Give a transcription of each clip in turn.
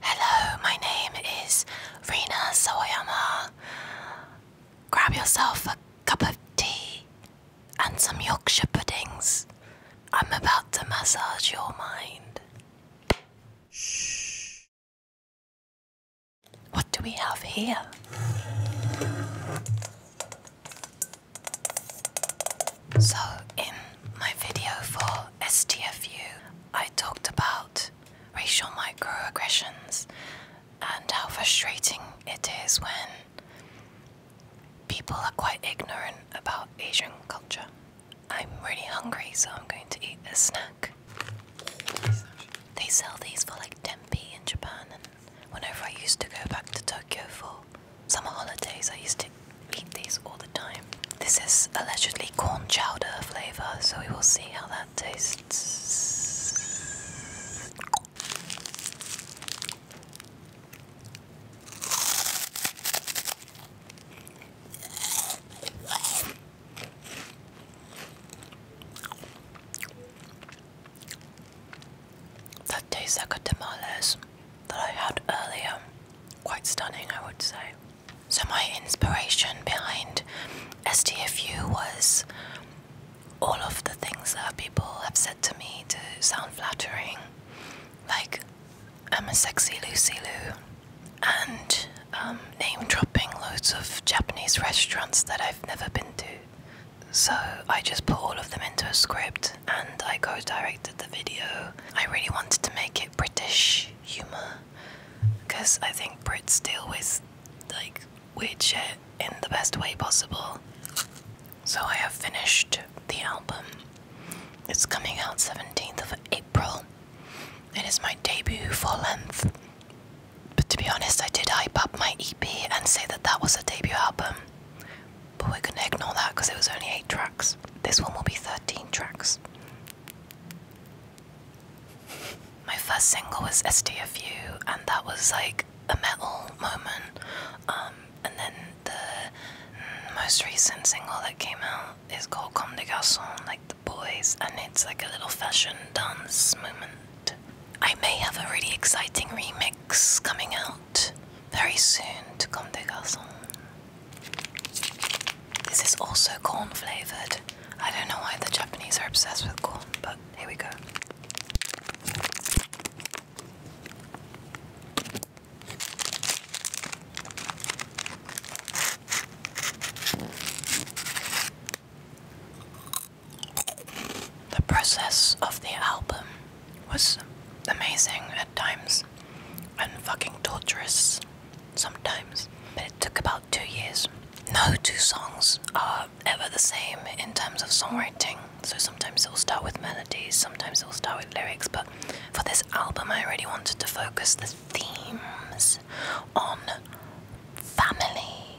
Hello, my name is Rina Sawayama. Grab yourself a cup of tea and some Yorkshire puddings. I'm about to massage your mind. Shh. What do we have here? So, in my video for STFU, I talked about racial microaggressions and how frustrating it is when people are quite ignorant about Asian culture. I'm really hungry, so I'm going to eat a snack. They sell these for like 10 in Japan, and whenever I used to go back to Tokyo for summer holidays, I used to eat these all the time. This is allegedly corn chowder flavor, so we will see how that tastes. That tastes like a tamales that I had earlier. Quite stunning, I would say. So, my inspiration behind STFU was all of the things that people have said to me to sound flattering, like I'm a sexy Lucy Lou, and um, name dropping loads of Japanese restaurants that I've never been to. So, I just put all of them into a script and I co directed the video. I really wanted to make it British humour because I think Brits deal with like weird shit in the best way possible. So I have finished the album. It's coming out 17th of April. It is my debut full length. But to be honest, I did hype up my EP and say that that was a debut album. But we're gonna ignore that because it was only 8 tracks. This one will be 13 tracks. My first single was SDFU, and that was like a metal moment. Um, and then the most recent single that came out is called Comme des Garçons, like the boys, and it's like a little fashion dance moment. I may have a really exciting remix coming out very soon to Comme des Garçons. This is also corn flavored. I don't know why the Japanese are obsessed with corn, but here we go. The process of the album was amazing at times and fucking torturous sometimes. But it took about two years. No two songs are ever the same in terms of songwriting. So sometimes it will start with melodies, sometimes it will start with lyrics. But for this album, I really wanted to focus the themes on family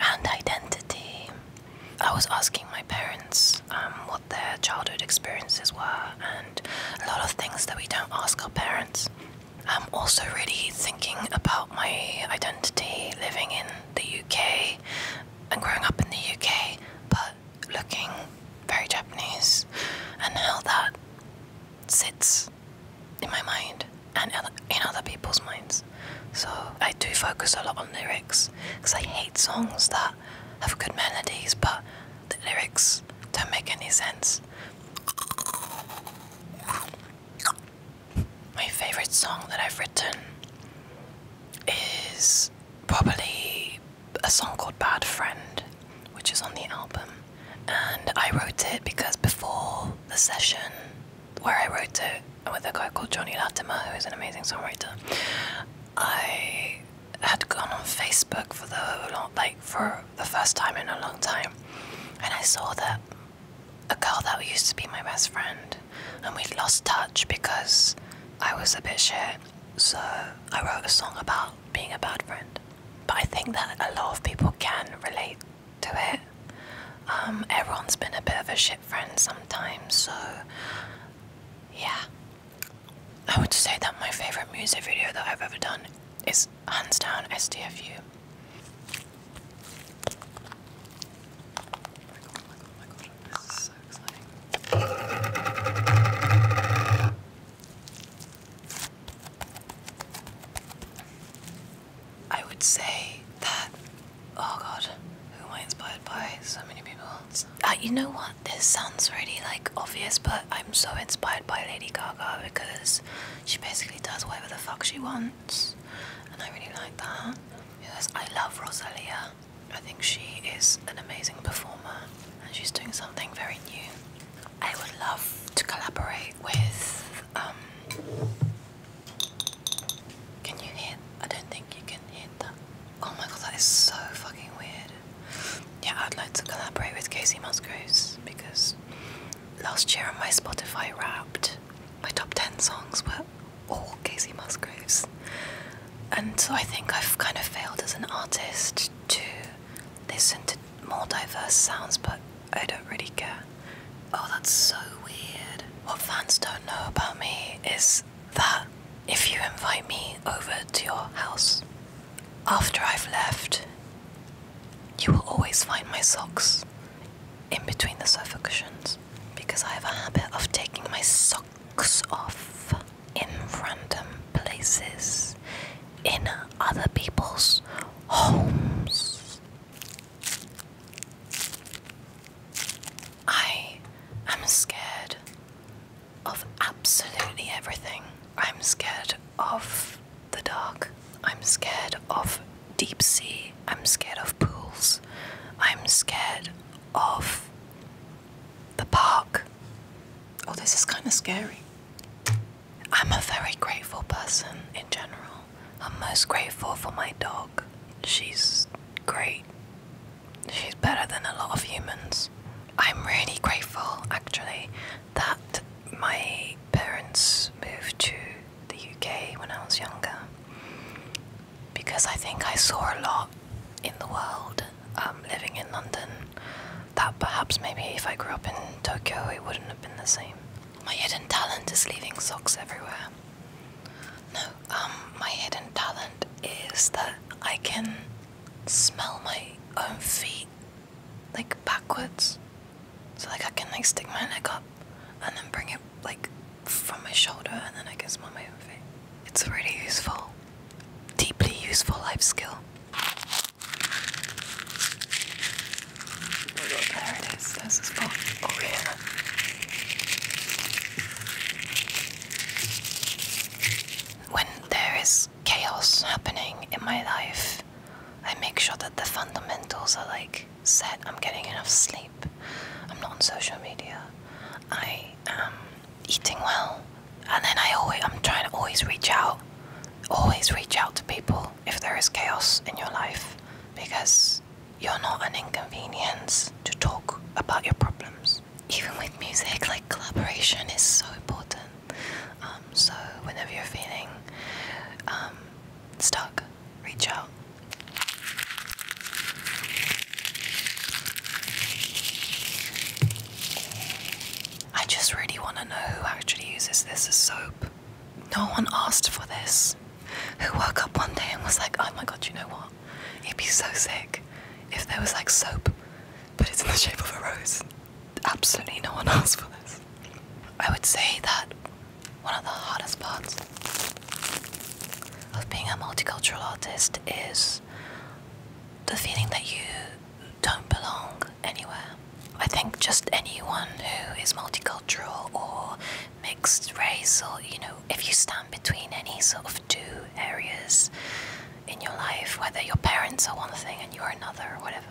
and identity. I was asking my parents um, what their childhood experiences were, and a lot of things that we don't ask our parents. I'm also really thinking about my identity living in the UK and growing up in the UK, but looking very Japanese, and how that sits in my mind and in other people's minds. So I do focus a lot on lyrics because I hate songs that have good melodies but the lyrics don't make any sense. My favorite song that I've written is probably a song called Bad Friend, which is on the album. And I wrote it because before the session where I wrote it, with a guy called Johnny Latimer, who is an amazing songwriter. I had gone on Facebook for the whole lot, like for the first time in a long time, and I saw that a girl that used to be my best friend, and we'd lost touch because I was a bit shit. So I wrote a song about being a bad friend. But I think that a lot of people can relate to it. Um, everyone's been a bit of a shit friends sometimes, so yeah. I would say that my favorite music video that I've ever done is hands down SDFU. I would say that, oh god, who am I inspired by? So many people. Uh, you know what? This sounds really like obvious, but I'm so inspired by Lady Gaga because she basically does whatever the fuck she wants, and I really like that. Because I love Rosalia. I think she is an amazing performer, and she's doing something very new. I would love to collaborate with um, can you hear? I don't think you can hear that. Oh my god, that is so fucking weird. Yeah, I'd like to collaborate with Casey Musgraves because last year on my Spotify Wrapped, my top 10 songs were all Casey Musgroves, And so I think I've kind of failed as an artist to listen to more diverse sounds, but I don't really care. Oh, that's so weird. What fans don't know about me is that if you invite me over to your house after I've left, you will always find my socks in between the sofa cushions because I have a habit of taking my socks off in random places in other people's homes. I am scared of absolutely everything. I'm scared of the dark. I'm scared of deep sea. I'm scared of pools. I'm scared of the park. Oh, this is kind of scary. I'm a very grateful person in general. I'm most grateful for my dog. She's great. She's better than a lot of humans. I'm really grateful actually that my parents moved to the UK when I was younger because I think I saw a lot in the world um, living in London that perhaps maybe if I grew up in Tokyo it wouldn't have been the same. My hidden talent is leaving socks everywhere. No, um, my hidden talent is that I can smell my own feet, like backwards. So like I can like stick my neck up and then bring it like from my shoulder and then I can smell my own feet. It's really useful. Deeply useful life skill. There it is. There's a spot. Oh yeah. When there is chaos happening in my life, I make sure that the fundamentals are like set. I'm getting enough sleep. I'm not on social media. I am eating well. And then I always I'm trying to always reach out always reach out to people if there is chaos in your life because you're not an inconvenience to talk about your problems. Even with music, like collaboration is so important. Um, so, whenever you're feeling um, stuck, reach out. I just really want to know who actually uses this as soap. No one asked for this. Who woke up one day and was like, oh my god, you know what? It'd be so sick if there was like soap, but it's in the shape of a rose. Absolutely no one asked for this. I would say that one of the hardest parts of being a multicultural artist is the feeling that you don't belong anywhere. I think just anyone who is multicultural or mixed race, or you know, if you stand between any sort of two areas in your life, whether your parents are one thing and you're another, or whatever,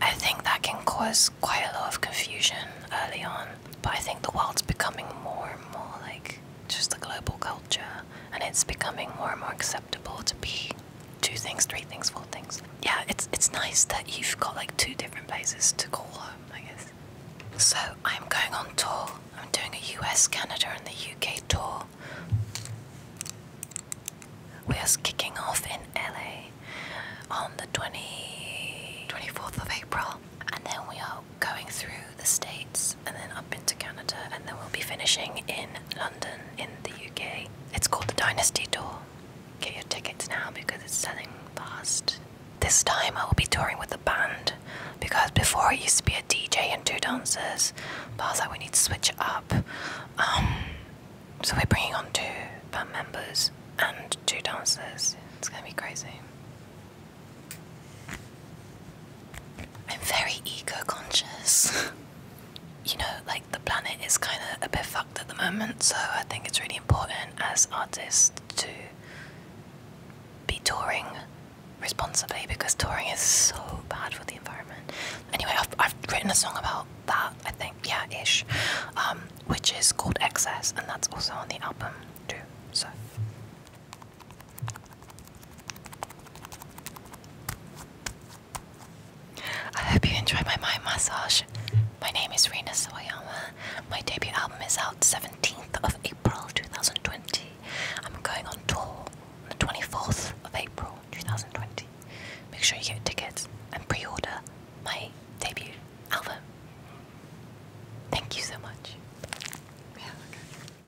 I think that can cause quite a lot of confusion early on. But I think the world's becoming more and more like just a global culture, and it's becoming more and more accepted to be two things, three things, four things. Yeah, it's it's nice that you've got like two different places to call home, I guess. So I'm going on tour. I'm doing a US, Canada and the UK tour. We are kicking off in LA on the 20, 24th of April and then we are going through the States and then up into Canada and then we'll be finishing in London in the Okay, It's called the Dynasty Tour. Get your tickets now because it's selling fast. This time I will be touring with the band because before it used to be a DJ and two dancers, but I was like, we need to switch up. Um, so we're bringing on two band members and two dancers. It's gonna be crazy. I'm very eco conscious. you know, like the planet is kind of a bit fucked at the moment, so I think it's really important as artists to be touring responsibly because touring is so bad for the environment. Anyway, I've, written a song about that, I think, yeah, ish, um, which is called Excess, and that's also on the album too, so. I hope you enjoy my mind massage. My name is Rena Sawayama. My debut album is out 17th of April 2020. I'm going on tour on the 24th of April 2020. Make sure you get tickets and pre order my debut album. Thank you so much. Yeah,